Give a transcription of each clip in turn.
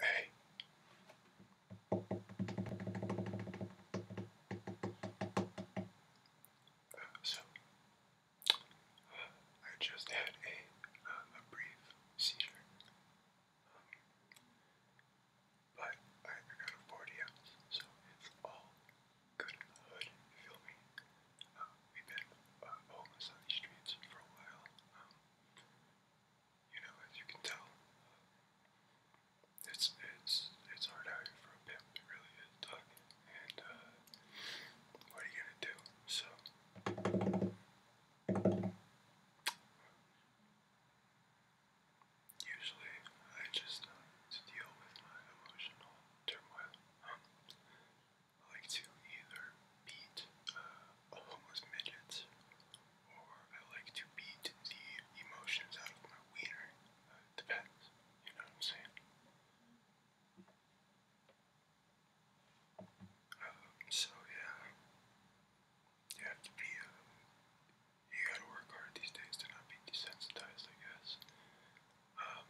Hey. Uh, so, I just had a, uh, a brief seizure. Um, but I, got a 40 ounce, so it's all good in the hood, feel me? Um, we've been uh, homeless on these streets for a while. Um, you know, as you can tell, it's it's it's hard out here for a pimp. It really is, And uh, what are you gonna do? So. Usually, I just uh, deal with my emotional turmoil. I like to either beat uh, a homeless midget, or I like to beat the emotions out of my wiener. Uh, depends, you know what I'm saying? Um, so yeah, you have to be, um, you gotta work hard these days to not be desensitized, I guess. Um,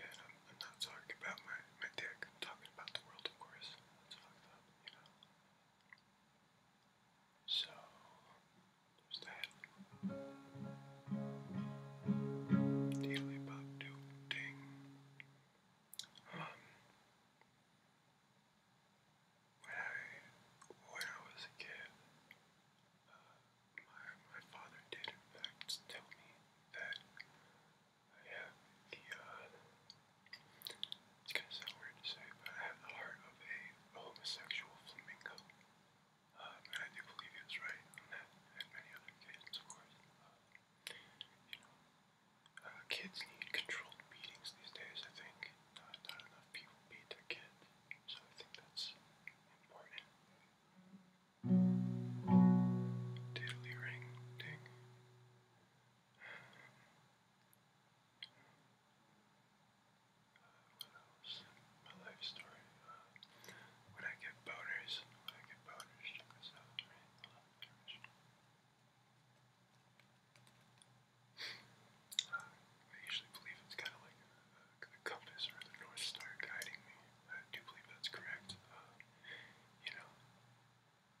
and I'm, not talking about my, my dick, I'm talking about the world, of course. That's fucked up, you know. So, there's that. ding. Um, when I when I was a kid, uh, my my father did in fact tell me that I have the uh, it's gonna sound weird to say, but I have the heart of a homosexual flamingo. Um, and I do believe he was right on that, and many other occasions, of course. Uh, you know, uh, kids need controlled beatings these days, I think. Not, enough people beat their kids, so I think that's important. Diddly ring ding. Uh, what else? My life story. Uh, when I get boners, I get boners, check this out. I usually believe it's kind of like a, compass or the North Star guiding me. I do believe that's correct. Uh, you know,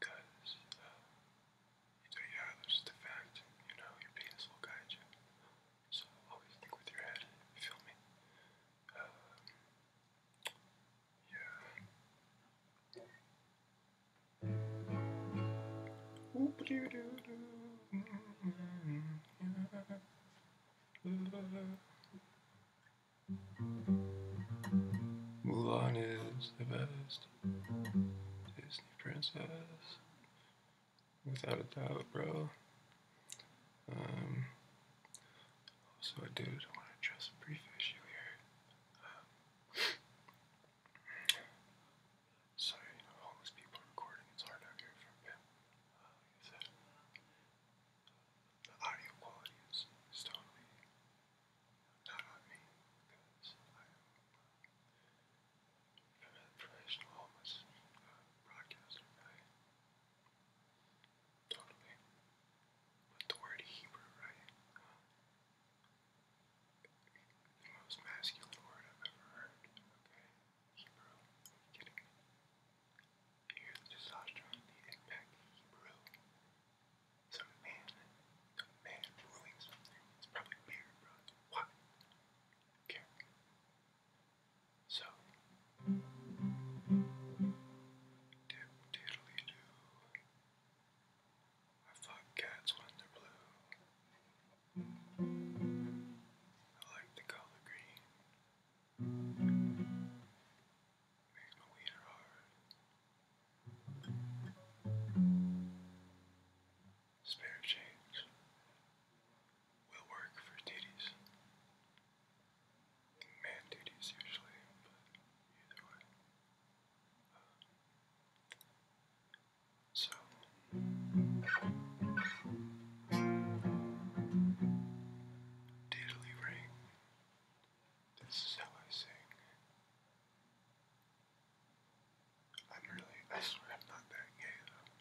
because uh, yeah, that's just fact. You know, your penis will guide you. So always think with your head. feel me? Um, Mulan is the best Disney princess. Without a doubt, bro. Um, so I do just want to address a brief issue here. Um, sorry, you people recording. It's hard out here uh, the audio quality is, is not on me I am uh, a professional homeless uh, broadcaster. Totally. But the word Hebrew, right? most masculine word I've ever heard. Okay. Hebrew. Are you the testosterone, the impact, Hebrew. It's man. It's man ruling something. It's probably beer, What? Care. So, diddly do. I fuck cats when they're blue. I like the color green. Makes my wiener hard. Spare change will work for titties. Man titties usually, but either way. so. Diddly ring. This is how I sing. I'm really, I swear I'm not that gay though.